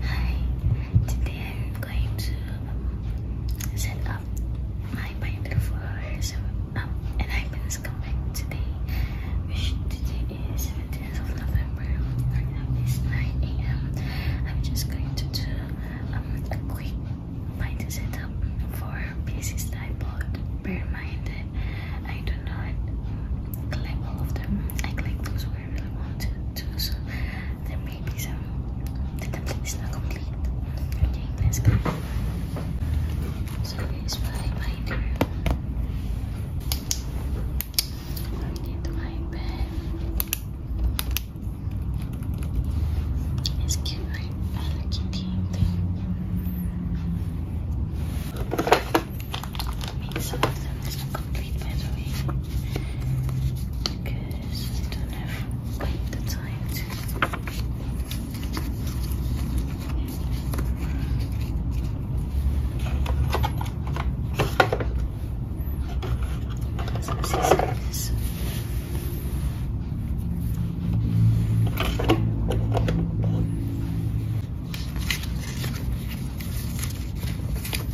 Hi, today I'm going to um, set up my binder for um, and i am been coming today, which today is 17th of November. Right now it's 9 a.m. I'm just going to do um, going to set up for pieces that I bought. Bear in mind that I do not collect all of them. I collect those I really wanted to. So there may be some. The template not complete. I'm doing this guy. So here's my binder. my pen. It's cute, right? I mean some of them is not complete by the way because I don't have quite the time to so this is like this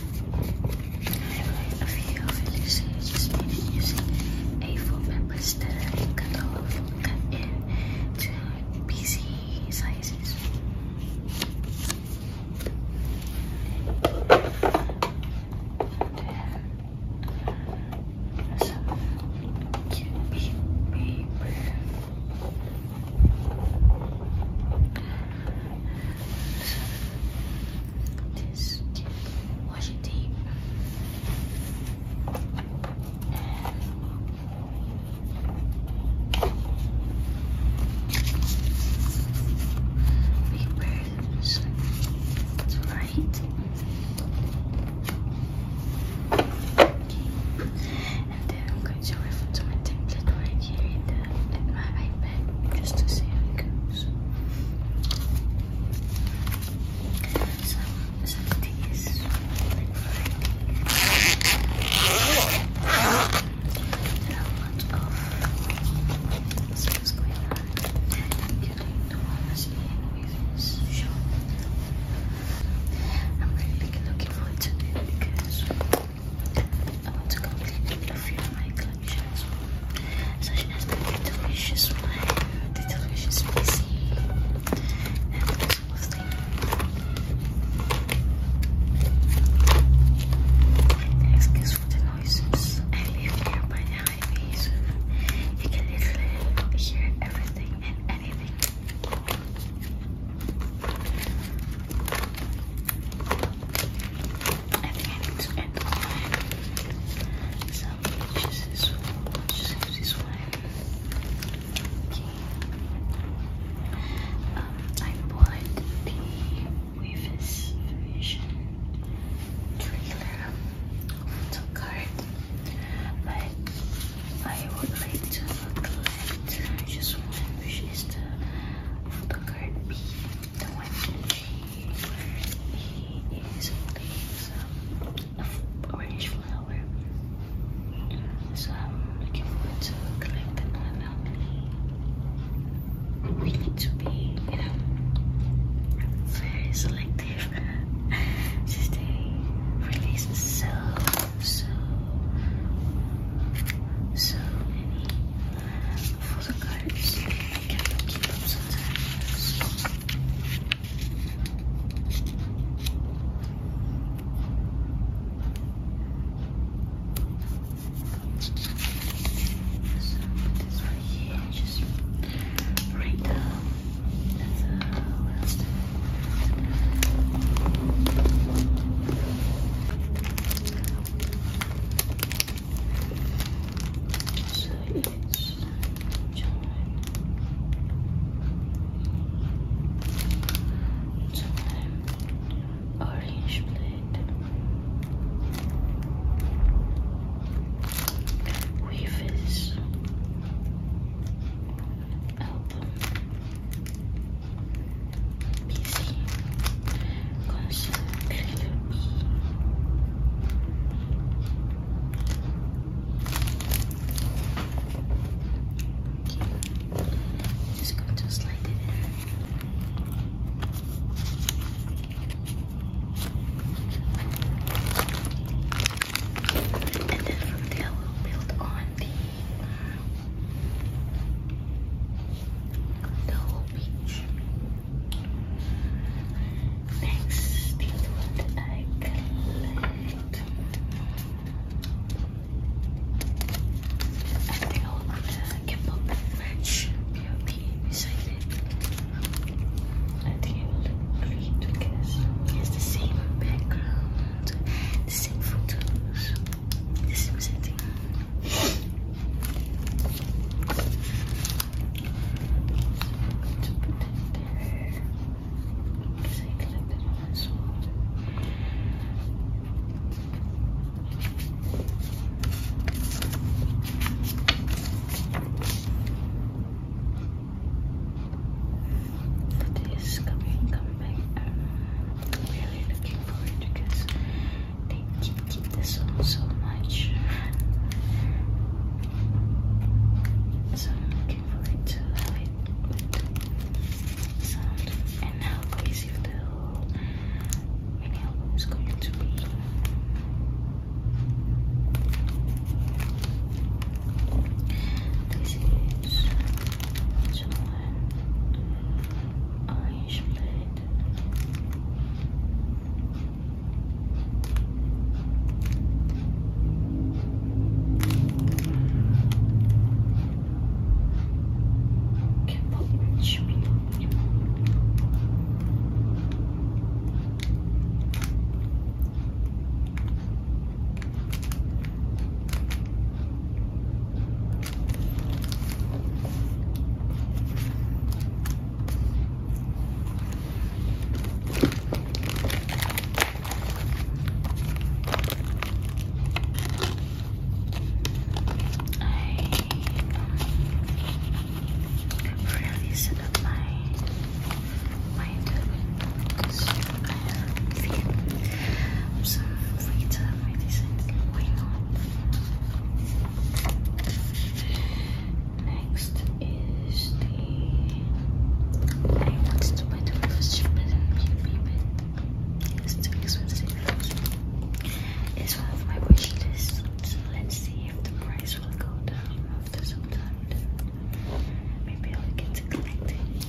I a few will release just meeting using a full members that I all off, cut in to PC sizes. And cute paper. This washing tape. Papers. That's right. Okay and then I'm going to refer to my template right here in, the, my iPad just to see how it goes. So, some things like writing. There are a lot of things going on, including the ones in Weaver's shop. I'm really looking forward to it because I want to complete a few of my collections, such as the Little Wishes the Little Wishes and that sort Excuse for the noises. I live here by the highway, you can literally hear everything and anything. I think I need to end so just this one, just this one. Um, I bought the Weavis Vision trailer little card, but I would like to collect. Just one, which is the photo card B, the one G. He is holding some orange flower. So I'm looking forward to collect another one. We need to be, you know, very selective since they release so so, so many full of cards. I can't keep up sometimes. So put this right here, just right down. That's the last. So it's time. Time. Orange plate. Weavers. PC considered Just going to slide it And then from there we'll build on the whole beach. Next the what I collect. I think I will put the K-pop match beauty beside it. I think it will look pretty to guess. It's the same background food, the same food, the same setting. Because I collected my sword this coming coming comeback. I'm really looking forward because they keep this song so much. So I'm looking forward to how it sound and how crazy the whole mini album is going to be. This is one orange plate. Okay, show me. I really set up my might some later I decided why not. Next is the I wanted to buy the first chip it's too expensive. It's one of my wish lists, let's see if the price will go down after some time. Maybe I'll get to collecting.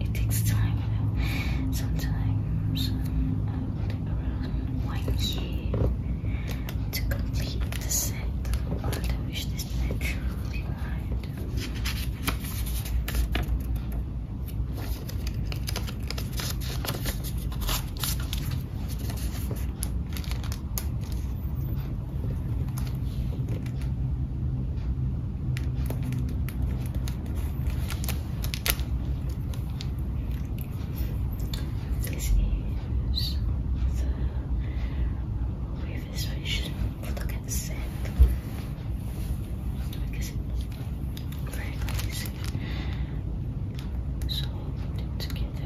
It takes time, you know. Sometimes um, I will take around one year to complete the set I wish this naturally mind. This is the previous version. Look at the set. it's crazy. So, together.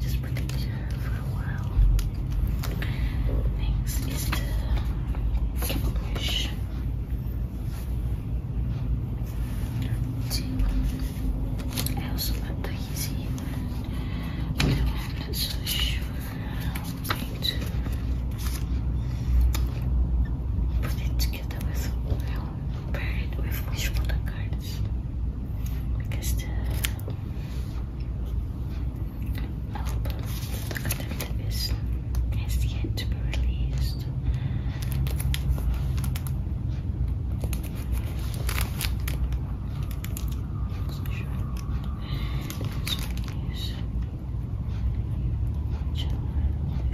Just put it for a while. Next is the brush. also I'm not so sure how i put it together with it with which one cards because the album the collective is has yet to be released. So sure. This one is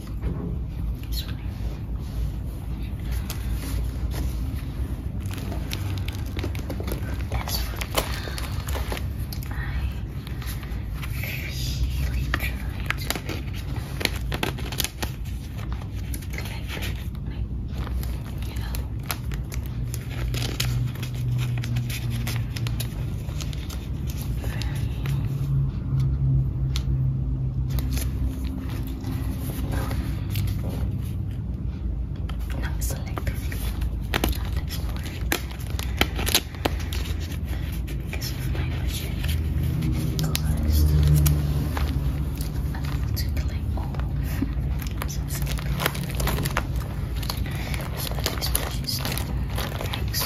This one. That's what I really tried to collect, like, you know. Very not selectively. Because of my budget. Because I'm able all sensitive so, so this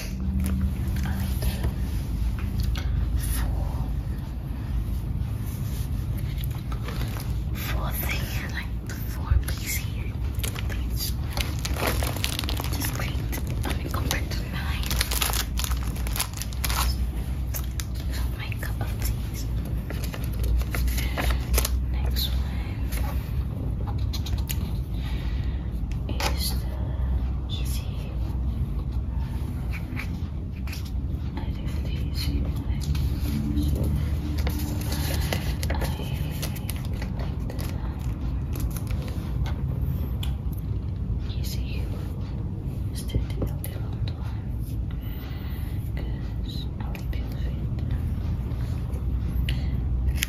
for for the like the four piece here. It's just great. I mean compared to nine. So my cup of teas. Next one is the easy I live the easy life so I like the easy is the difficult one because I like people fit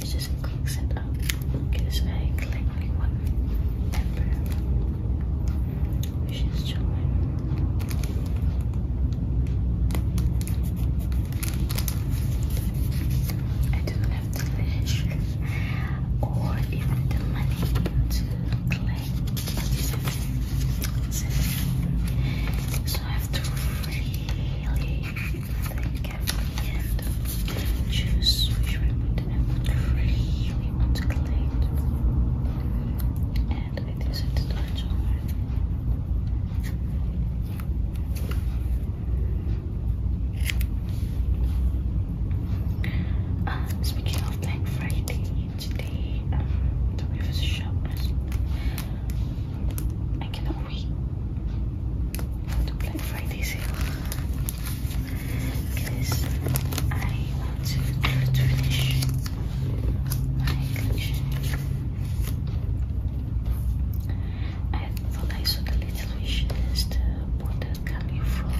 It just cooks it up. Gives very clinging one temper, which is charming. I do not have to finish or even the money to claim seven. So I have to really you can thank Kathy and really want to collect. And it is at the torch speaking of Black Friday, today um, the River's shop oui. To Black this, sale. Because I want to finish my collection. I thought I saw the little wish list board that coming from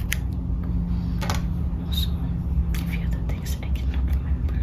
also a few other things I cannot remember.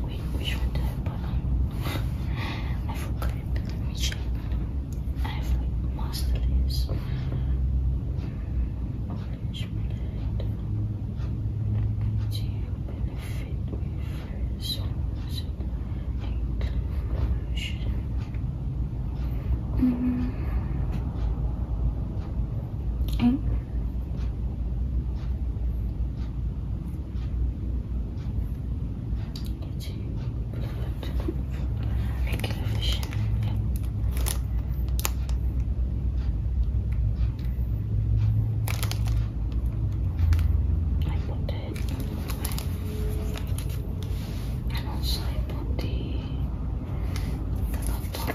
Wait, which one did I put on? I forgot. Let me check. I have like master this. Orange blood. Do you benefit with first? Include gosh. Mm. Mm. Regular vision. Yeah. I put it and also I the the laptop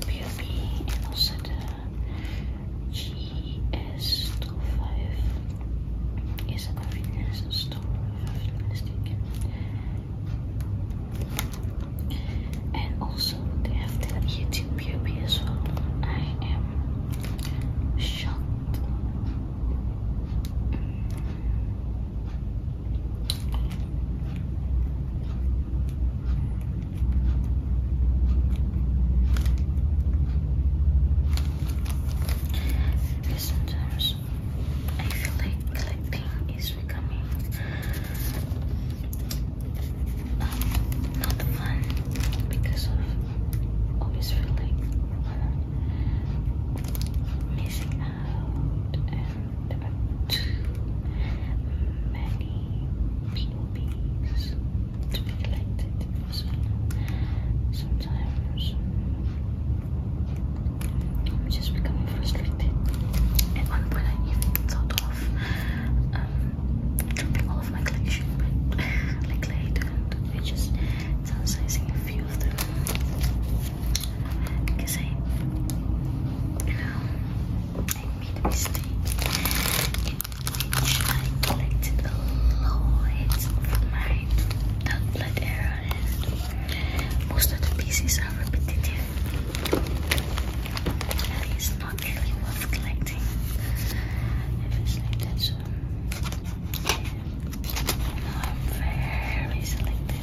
POB and also the GS25 is a convenience store and also they have the YouTube POB as well. I am shocked Sometimes I feel like collecting is becoming um, not fun because of always feeling. Uh, missing out and too many people beings to be collected because sometimes I'm just becoming frustrated At one point I even thought of um, dropping all of my collection but like later and I just I was using a few of them because I, made a mistake I collected a lot from my tablet era most of the pieces are repetitive it's not really worth collecting if it's I'm very selective.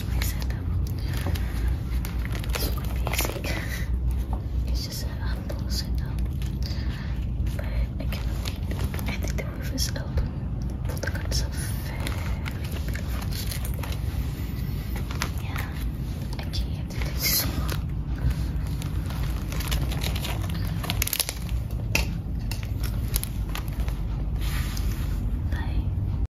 finish my setup. It's basic. It's just an humble setup. But I cannot I think the roof is open. All the curtains are Yeah, I can't. Bye.